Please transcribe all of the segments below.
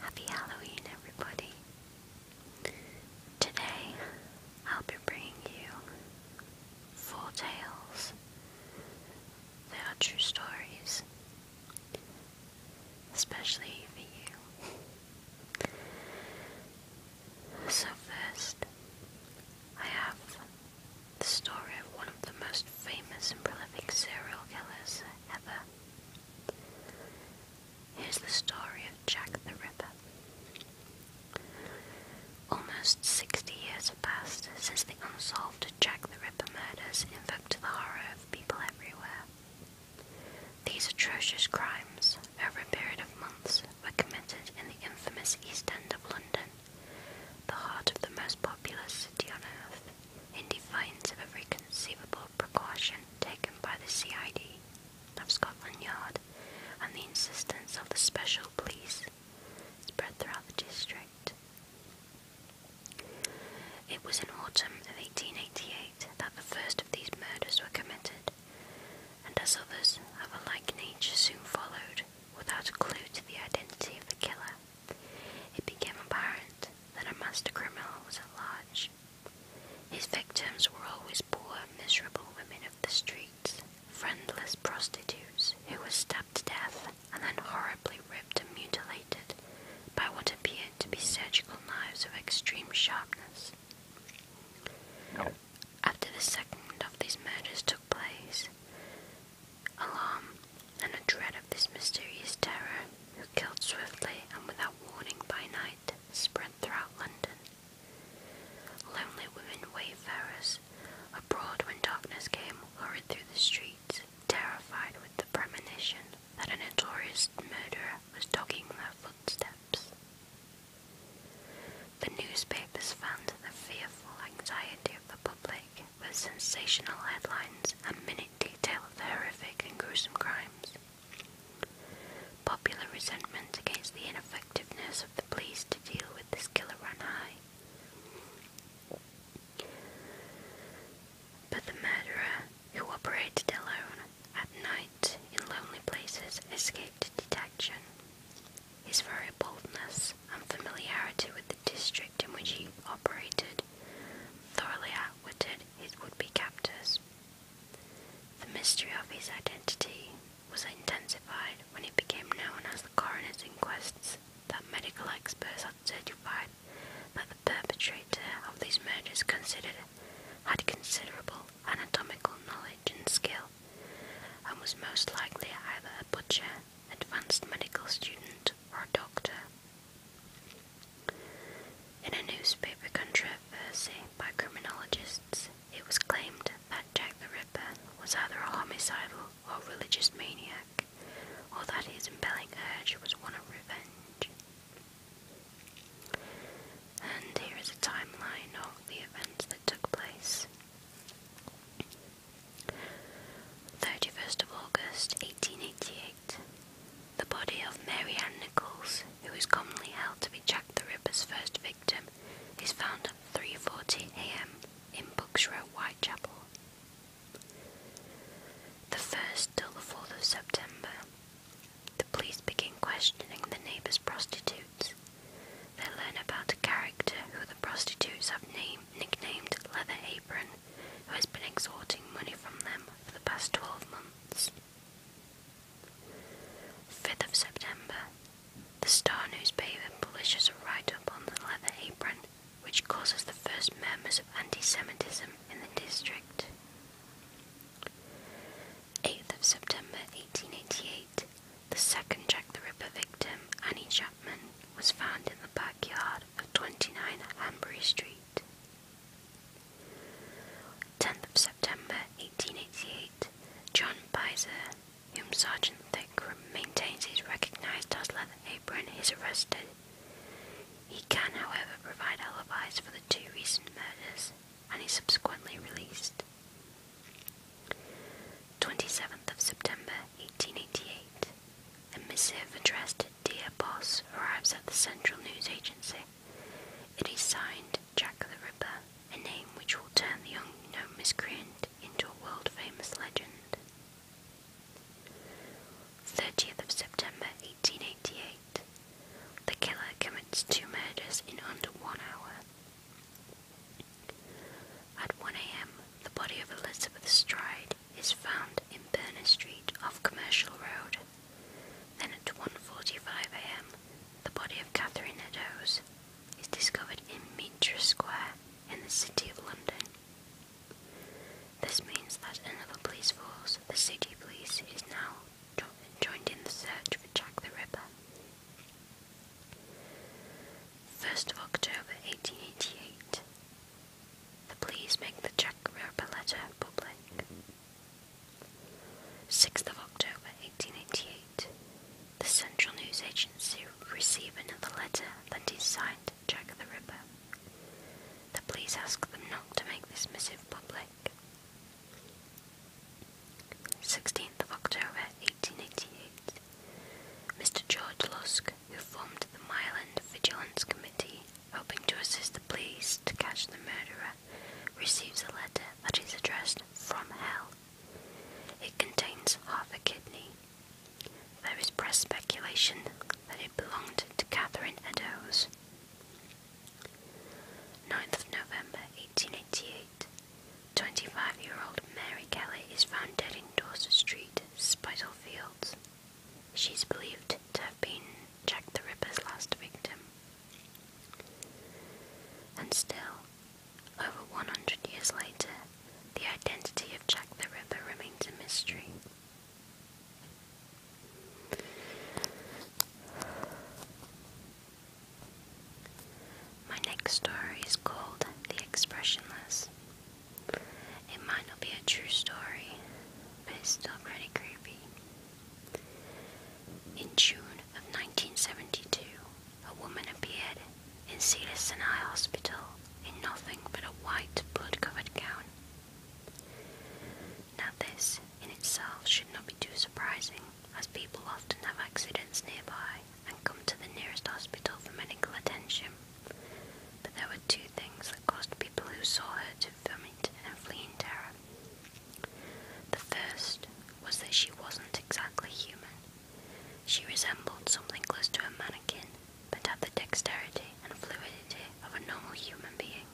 Happy Halloween, everybody. Today, I'll be bringing you four tales. They are true stories, especially for you. So, first, I have the story of one of the most famous and prolific serial killers ever. Here's the story of Jack the Ripper. Almost 60 years have passed since the unsolved Jack the Ripper murders invoked the horror of people everywhere. These atrocious crimes, over a period of months, were committed in the infamous East End of London the heart of the most populous city on earth, in defiance of every conceivable precaution taken by the CID of Scotland Yard and the insistence of the special police, spread throughout the district. It was in autumn of 1888 that the first of these murders were committed, and as others of a like nature soon followed, without a clue to the identity of the killer. It became apparent that a master criminal was at large. His victims were always poor, miserable women of the streets, friendless prostitutes who were stabbed to death and then horribly ripped and mutilated by what appeared to be surgical knives of extreme sharpness. After the second of these murders took place, alarm, and a dread of this mysterious terror, who killed swiftly and without warning by night, spread throughout London. Lonely women wayfarers, abroad when darkness came, hurried through the streets, terrified with the premonition that a notorious murderer was dogging their footsteps. The newspapers found the fearful anxiety of the public with sensational headlines and minute detail of the horrific and gruesome crimes. Popular resentment against the ineffectiveness of the police to deal with this killer ran high. But the murderer, who operated alone at night in lonely places, escaped detection. His very boldness and familiarity with the district in which he operated thoroughly outwitted his would-be captors. The mystery of his identity was intensified when it became known as the coroner's inquests that medical experts had certified that the perpetrator of these murders considered had considerable anatomical knowledge and skill and was most likely either a butcher advanced medical student, or doctor. In a newspaper controversy by criminologists, it was claimed that Jack the Ripper was either a homicidal or religious maniac, or that his impelling urge was one of revenge. And here is a timeline of the events that took place. 31st of August 1888. The body of Mary Ann Nichols, who is commonly held to be Jack the Ripper's first victim, is found at 3:40 a.m. in Bucks Row, Whitechapel. The 1st till the 4th of September. The police begin questioning the neighbour's prostitute they learn about a character who the prostitutes have named, nicknamed Leather Apron, who has been extorting money from them for the past 12 months. 5th of September, the Star newspaper publishes a write-up on the Leather Apron, which causes the first murmurs of anti-Semitism in the district. 8th of September 1888, the second Jack the Ripper victim, Annie Chapman, was found in the backyard of 29 Hanbury Street. 10th of September 1888, John Pizer, whom Sergeant Thick maintains is recognized as Leather Apron, is arrested. He can, however, provide alibis for the two recent murders, and is subsequently released. 27th of September 1888. A missive addressed to Dear Boss arrives at the Central News Agency. It is signed Jack the Ripper, a name which will turn the unknown miscreant into a world famous legend. 30th of September 1888. The killer commits two murders in under one hour. At 1 a.m., the body of Elizabeth Stride is found in Burner Street off Commercial Road. Then at 1.45 a.m., the body of Catherine Eddowes is discovered in Mintra Square in the City of London. This means that another police force, the City Police, is now joined in the search for Jack the Ripper. 1st of October 1888. The police make the Jack Ripper letter public. 6th of October 1888. The Central News Agency receive another letter that is signed Jack the Ripper. The police ask them not to make this missive public. 16th of October 1888, Mr. George Lusk, who formed the Myland Vigilance Committee, hoping to assist the police to catch the murderer, receives a letter that is addressed from hell. It contains half a kidney. There is press speculation that it belonged to Catherine Eddowes. 9th of November 1888, 25 year old Mary Kelly is found dead in Dorset Street, Spitalfields. She's believed to have been Jack the Ripper's last victim. And still, over 100 years later, the identity of Jack the Ripper remains a mystery. My next story is called The Expressionless. It might not be a true story, but it's still pretty creepy. In June of 1972, a woman appeared in Cedar Sinai Hospital in nothing but a white blood covered gown. Now, this in itself should not be too surprising, as people often have accidents nearby and come to the nearest hospital for medical attention. But there were two things that caused people who saw her to vomit and flee in terror. The first was that she wasn't exactly human. She resembled something close to a mannequin, but had the dexterity and fluidity of a normal human being.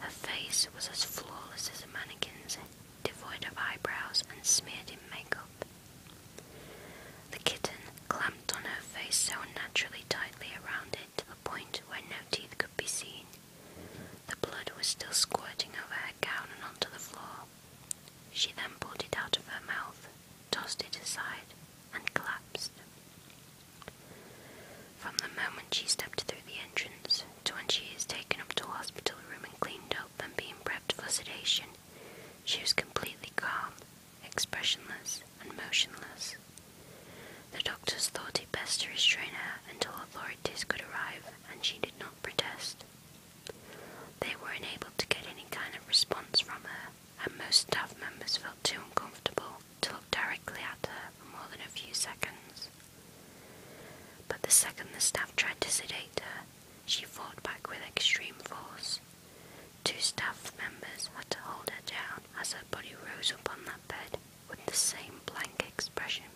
Her face was as flawless as a mannequin's devoid of eyebrows and smeared in makeup. The kitten clamped on her face so unnaturally tightly around it to the point where no teeth could be seen. The blood was still squirting over her gown and onto the floor. She then pulled it out of her mouth, tossed it aside, and collapsed. From the moment she stepped through the entrance, when she is taken up to a hospital room and cleaned up and being prepped for sedation, she is completely calm, expressionless, and motionless. The doctors thought it best to restrain her until authorities could arrive, and she did not protest. They were unable to get any kind of response from her, and most staff members felt too uncomfortable to look directly at her for more than a few seconds. But the second the staff tried to sedate her, she fought back with extreme force. Two staff members had to hold her down as her body rose up on that bed with the same blank expression.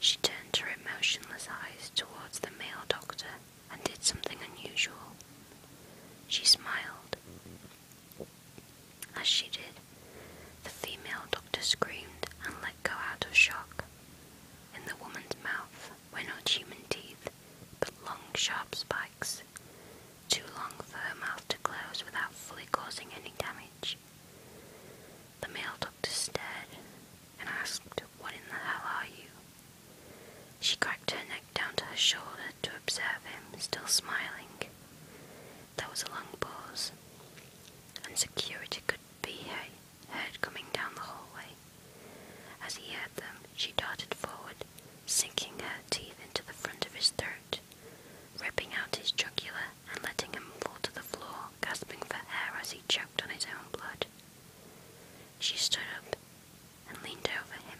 She turned her emotionless eyes towards the male doctor and did something unusual. She smiled, as she did, the female doctor screamed and let go out of shock. In the woman's mouth were not human teeth, but long, sharp spikes, too long for her mouth to close without fully causing any damage. The male doctor stared and asked, What in the hell are you? She cracked her neck down to her shoulder to observe him, still smiling. There was a long pause, and security could be heard coming down the hallway. As he heard them, she darted forward, sinking her teeth into the front of his throat, ripping out his jugular and letting him fall to the floor, gasping for air as he choked on his own blood. She stood up and leaned over him,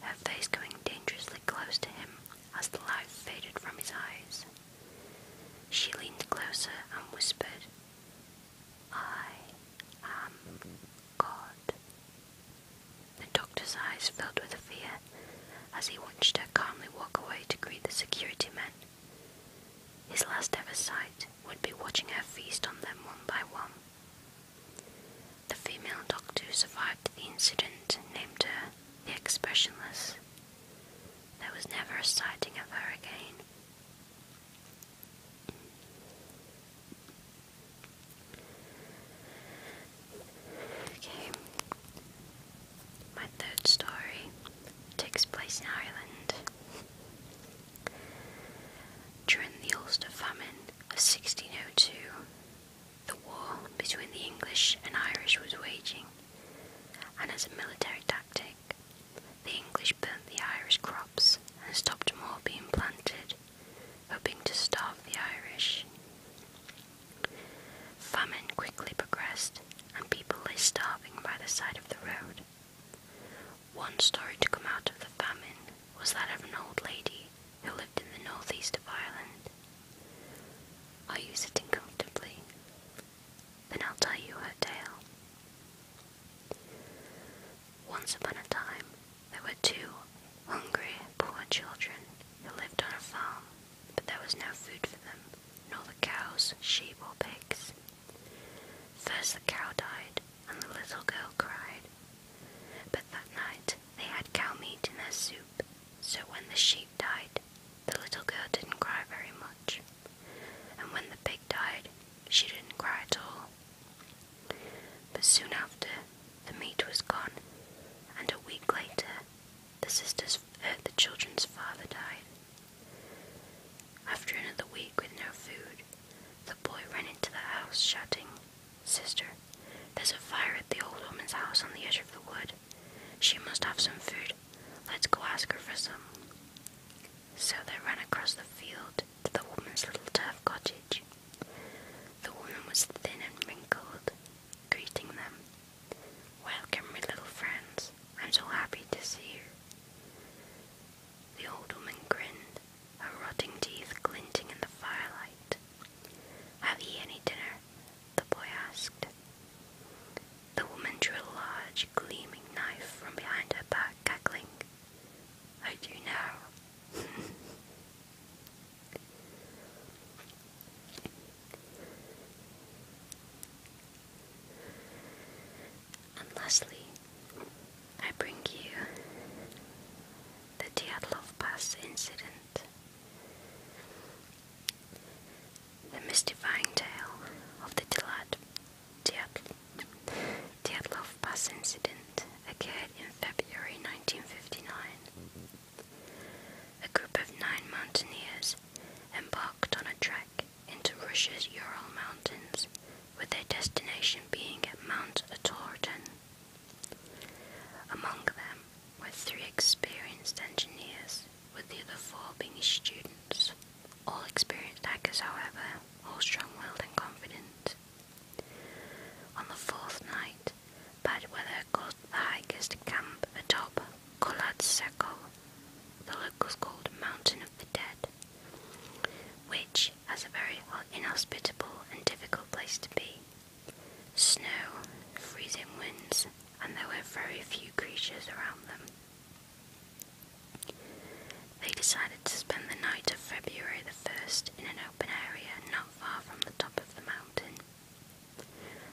her face going dangerously close to him as the light faded from his eyes. She leaned closer and whispered, I am God. The doctor's eyes filled with fear as he watched her calmly walk away to greet the security men. His last ever sight would be watching her feast on them one by one. The female doctor who survived the incident named her the expressionless. There was never a sighting of her again. Okay, my third story takes place in Ireland. During the Ulster famine of 1602, the war between the English and Irish was waging, and as a military tactic, the English burnt the Irish crops and stopped more being planted, hoping to starve the Irish. Famine quickly progressed, and people lay starving by the side of the road. One story to come out of the famine was that of an old lady who lived in the northeast of Ireland. Are you sitting comfortably? Then I'll tell you her tale. Once upon a time, there were two hungry, poor children who lived on a farm, but there was no food for them, nor the cows, sheep, or pigs. First the cow died, and the little girl cried. But that night they had cow meat in their soup, so when the sheep died, the little girl didn't cry very much. And when the pig died, she didn't cry at all. But soon after, the meat was gone, and a week later, the uh, children's father died. After another week with no food, the boy ran into the house shouting, Sister, there's a fire at the old woman's house on the edge of the wood. She must have some food. Let's go ask her for some. So they ran across the field to the woman's little turf cottage. The woman was thin and wrinkled, greeting them. Welcome, my little friends. I'm so happy to see you. The old woman grinned, her rotting teeth glinting in the firelight. Have ye any dinner? the boy asked. The woman drew a large, gleaming knife from behind her back, cackling. I do now. and lastly, I bring you the Dyatlov Pass incident. The mystifying tale of the Dyatlov bus incident occurred in February 1959. A group of nine mountaineers embarked on a trek into Russia's Ural Mountains, with their destination being Mount Atorten among them were three experienced engineers, with the other four being students. All experienced hackers, however, all strong-willed and confident. On the fourth night, bad weather caused the hikers to camp atop Kolad Sekol, the locals called Mountain of the Dead, which has a very inhospitable and difficult place to be. Snow, freezing winds, and there were very few creatures around them. They decided to spend the night of February the 1st in an open area not far from the top of the mountain,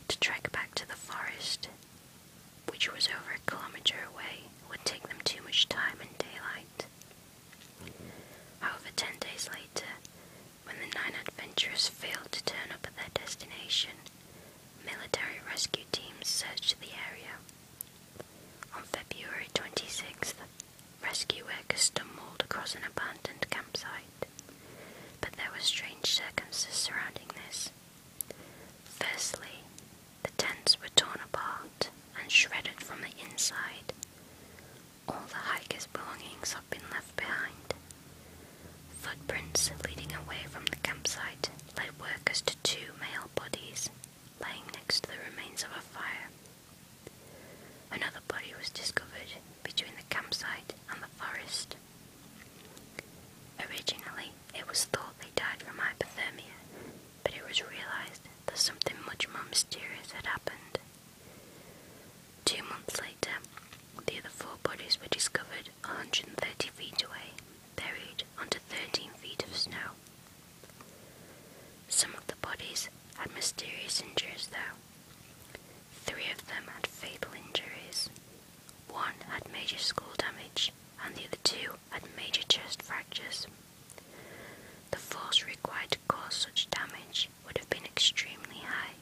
to trek back to the forest, which was over a kilometre away, would take them too much time in daylight. However, ten days later, when the nine adventurers failed to turn up at their destination, military rescue teams searched the area. On February 26th, rescue workers stumbled across an abandoned campsite, but there were strange circumstances surrounding this. Firstly, the tents were torn apart and shredded from the inside, all the hiker's belongings had been left behind. Footprints leading away from the campsite led workers to two male bodies lying next to the remains of a fire. Another body was discovered between the campsite and the forest. Originally, it was thought they died from hypothermia, but it was realized that something much more mysterious had happened. Two months later, the other four bodies were discovered 130 feet away, buried under 13 feet of snow. Some of the bodies had mysterious injuries, though. Three of them had fatal injuries. One had major skull damage, and the other two had major chest fractures. The force required to cause such damage would have been extremely high.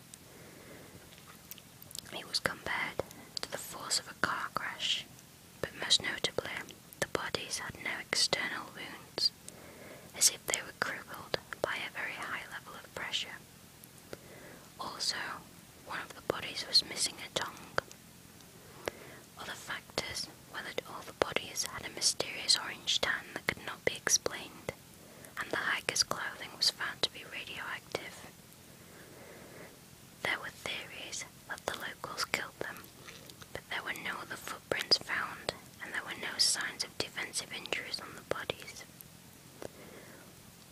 It was compared to the force of a car crash, but most notably, the bodies had no external wounds, as if they were crippled by a very high level of pressure. Also, one of the bodies was missing a tongue. Other factors while all the bodies had a mysterious orange tan that could not be explained, and the hiker's clothing was found to be radioactive. There were theories that the locals killed them, but there were no other footprints found, and there were no signs of defensive injuries on the bodies.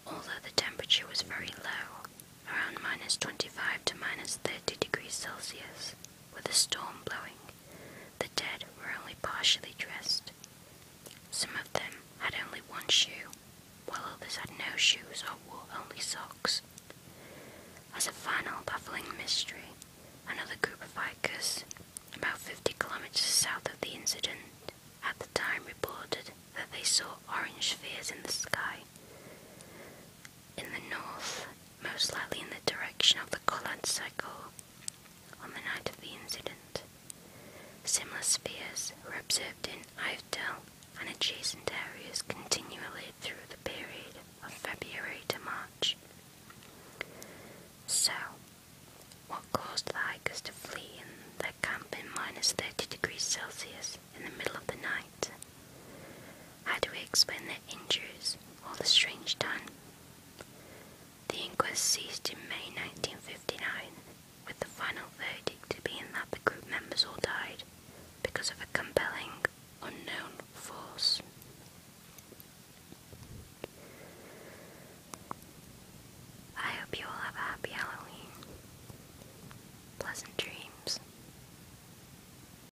Although the temperature was very low, around minus 25 to minus 30 degrees Celsius, with a storm blowing, the dead were only partially dressed. Some of them had only one shoe, while others had no shoes or wore only socks. As a final baffling mystery, another group of bikers, about 50 kilometers south of the incident, at the time reported that they saw orange spheres in the sky in the north, most likely in the direction of the Collard Circle, on the night of the incident. Similar spheres were observed in Ivedale and adjacent areas continually through the period of February to March. So, what caused the hikers to flee in their camp in minus 30 degrees Celsius in the middle of the night? How do we explain their injuries or the strange death? The inquest ceased in May 1959, with the final verdict being that the group members all died because of a compelling, unknown force. I hope you all have a happy Halloween. Pleasant dreams.